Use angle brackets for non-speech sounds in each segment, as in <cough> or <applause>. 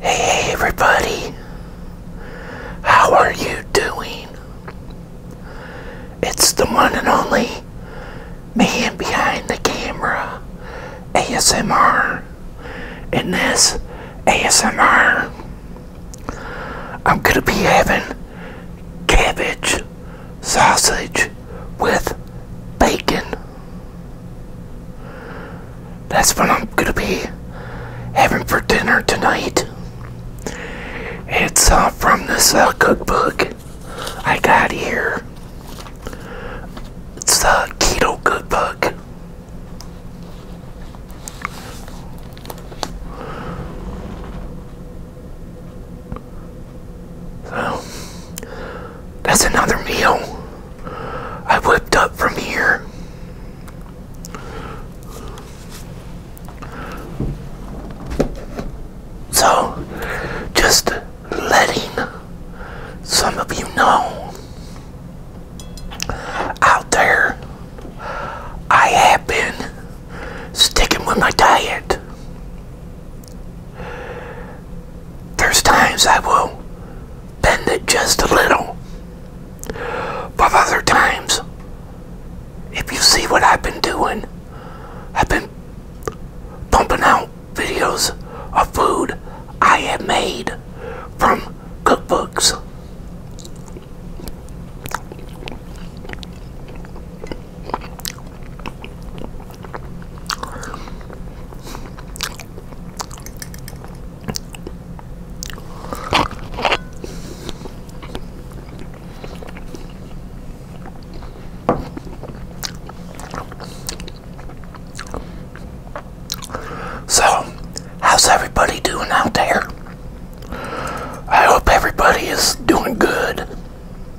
Hey everybody, how are you doing? It's the one and only man behind the camera, ASMR. In this ASMR, I'm going to be having cabbage sausage with bacon. That's what I'm gonna be having for dinner tonight. It's uh, from this uh, cookbook I got here. It's the Keto Cookbook. So, that's another meal I whipped up from here. So, just letting some of you know out there, I have been sticking with my diet. There's times I will bend it just a little. But other times, if you see what I've been doing, I've been pumping out videos of food I have made from cookbooks. So, how's everybody doing out there? I hope everybody is doing good.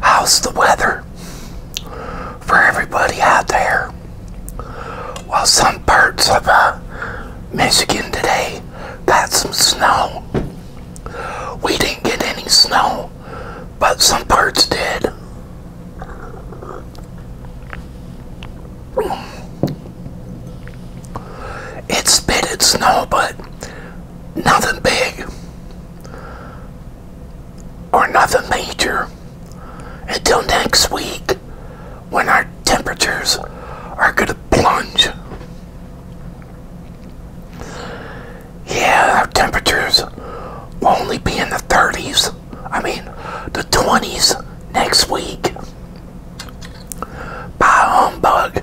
How's the weather for everybody out there? Well, some parts of uh, Michigan today got some snow. We didn't get any snow, but some parts did. It spitted snow, but nothing big or nothing major until next week when our temperatures are going to plunge. Yeah, our temperatures will only be in the 30s. I mean, the 20s next week. Bye, humbug.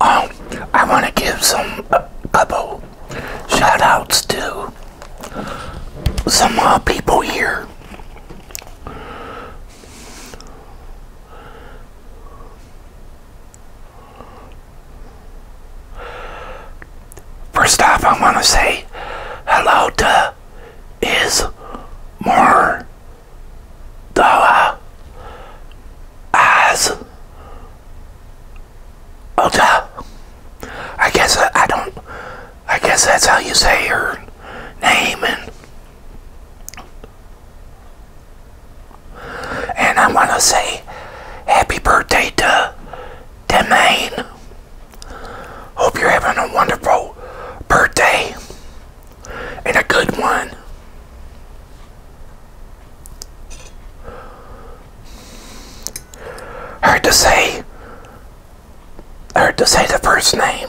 Um, I want to give some couple shout outs to some uh, people here. First off, I want to say hello to Is More Doa uh, I guess uh, I don't. I guess that's how you say her name and I want to say happy birthday to Demain. Hope you're having a wonderful birthday and a good one. Hard to say, hard to say the first name.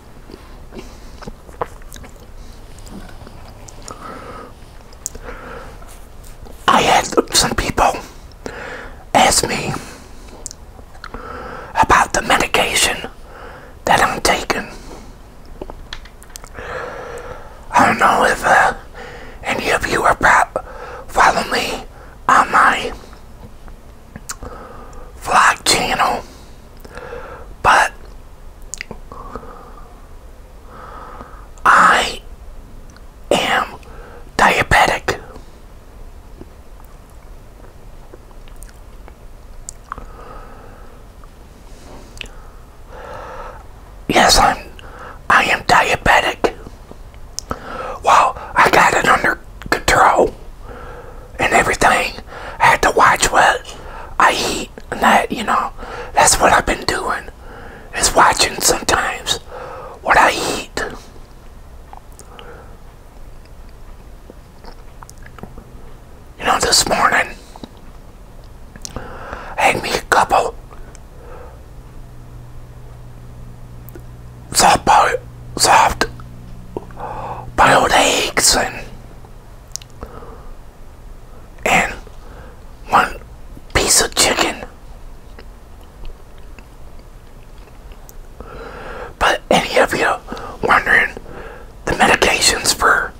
I had some people ask me about the medication that I'm taking. I don't know if uh, any of you are about following me on my vlog channel, but I am diabetic. Yes, I'm I am diabetic. Wow, I got it under control and everything. I had to watch what I eat and that, you know. That's what I've been doing, is watching sometimes what I eat. You know, this morning, had me a couple soft boiled, soft boiled eggs and and one piece of chicken. But any of you wondering the medications for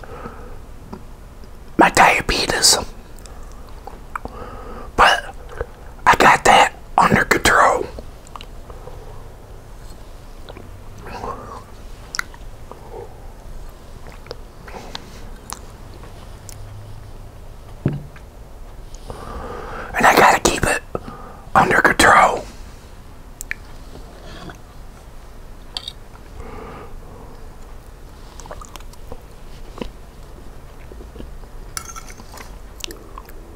my diabetes? But I got that under control. And I gotta keep it under control.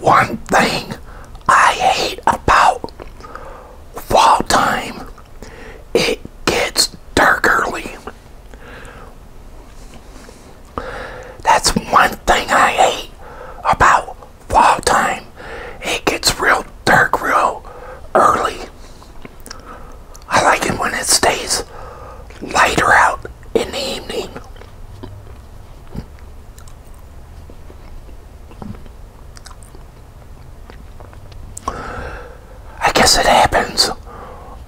One thing I hate about fall time, it gets dark early. That's one thing I hate about fall time, it gets real dark real early. I like it when it stays lighter out in the evening. I guess it happens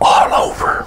all over.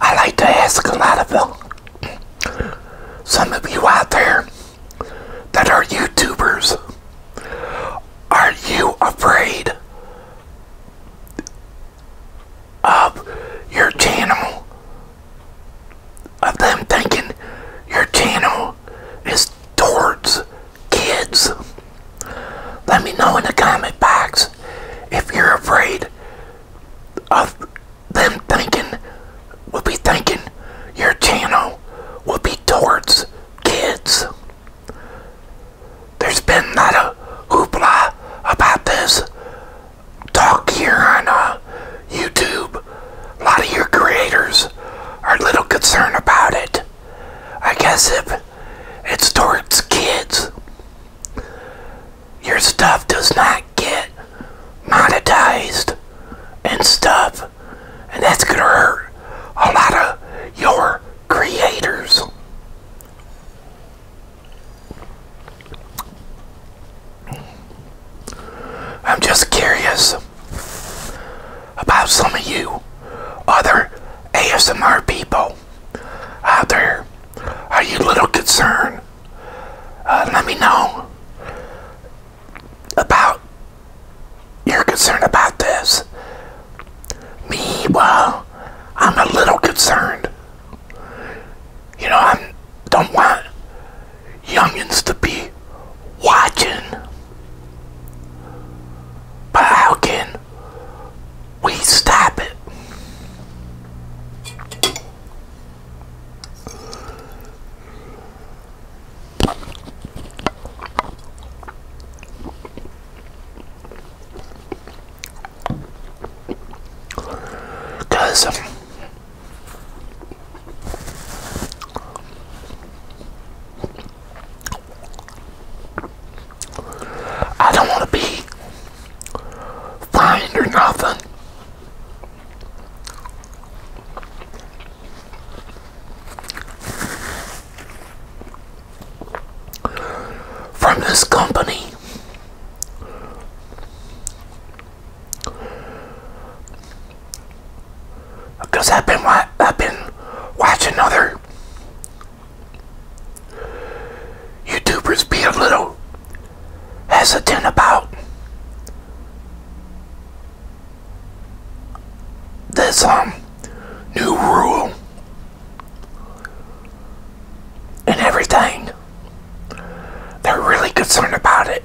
I like to ask a lot of them. Some of you out there that are YouTubers, are you afraid of your channel? Of them thinking your channel is towards kids? Let me know in the comment box if you're afraid of them thinking, we will be thinking your channel will be towards kids. There's been a not a hoopla about this talk here on uh, YouTube. A lot of your creators are a little concerned about it. I guess if it's towards kids your stuff does not get monetized and stuff, and that's gonna hurt a lot of your creators. I'm just curious about some of you other ASMR people out there? Are you a little concerned? Uh, let me know about your concern about this. Me, well, I'm a little concerned. You know, I don't want youngins to be watching. But how can we stop it. Because um, I don't want to be fine or nothing. From this company, because I've been watching other YouTubers be a little hesitant about this um new rule and everything. They're really concerned about it.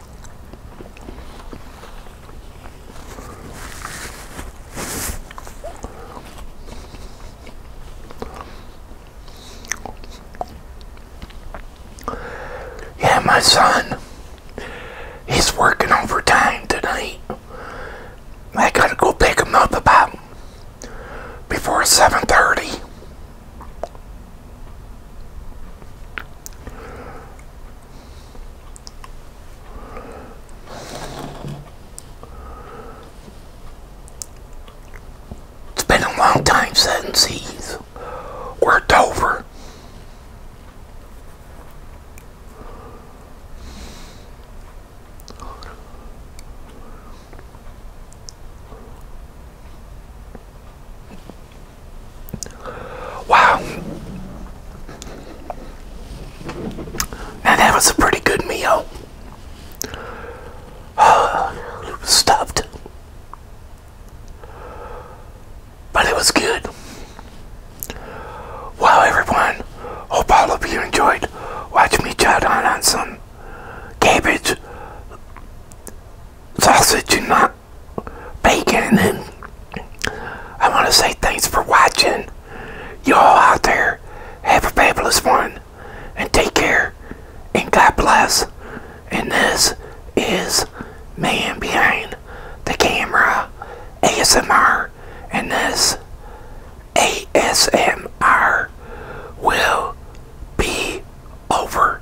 Yeah, my son, he's working overtime tonight. I gotta go pick him up about before 7.30. It's been a long time since he's worked over. Wow. Now that was a pretty good meal. <sighs> stuffed. But it was good. Well, everyone, hope all of you enjoyed watching me chow down on some cabbage, sausage, and bacon. And I want to say thanks for watching. You all out there, have a fabulous one. And take care. And God bless. And this is Man Behind the Camera ASMR. And this ASMR will be over.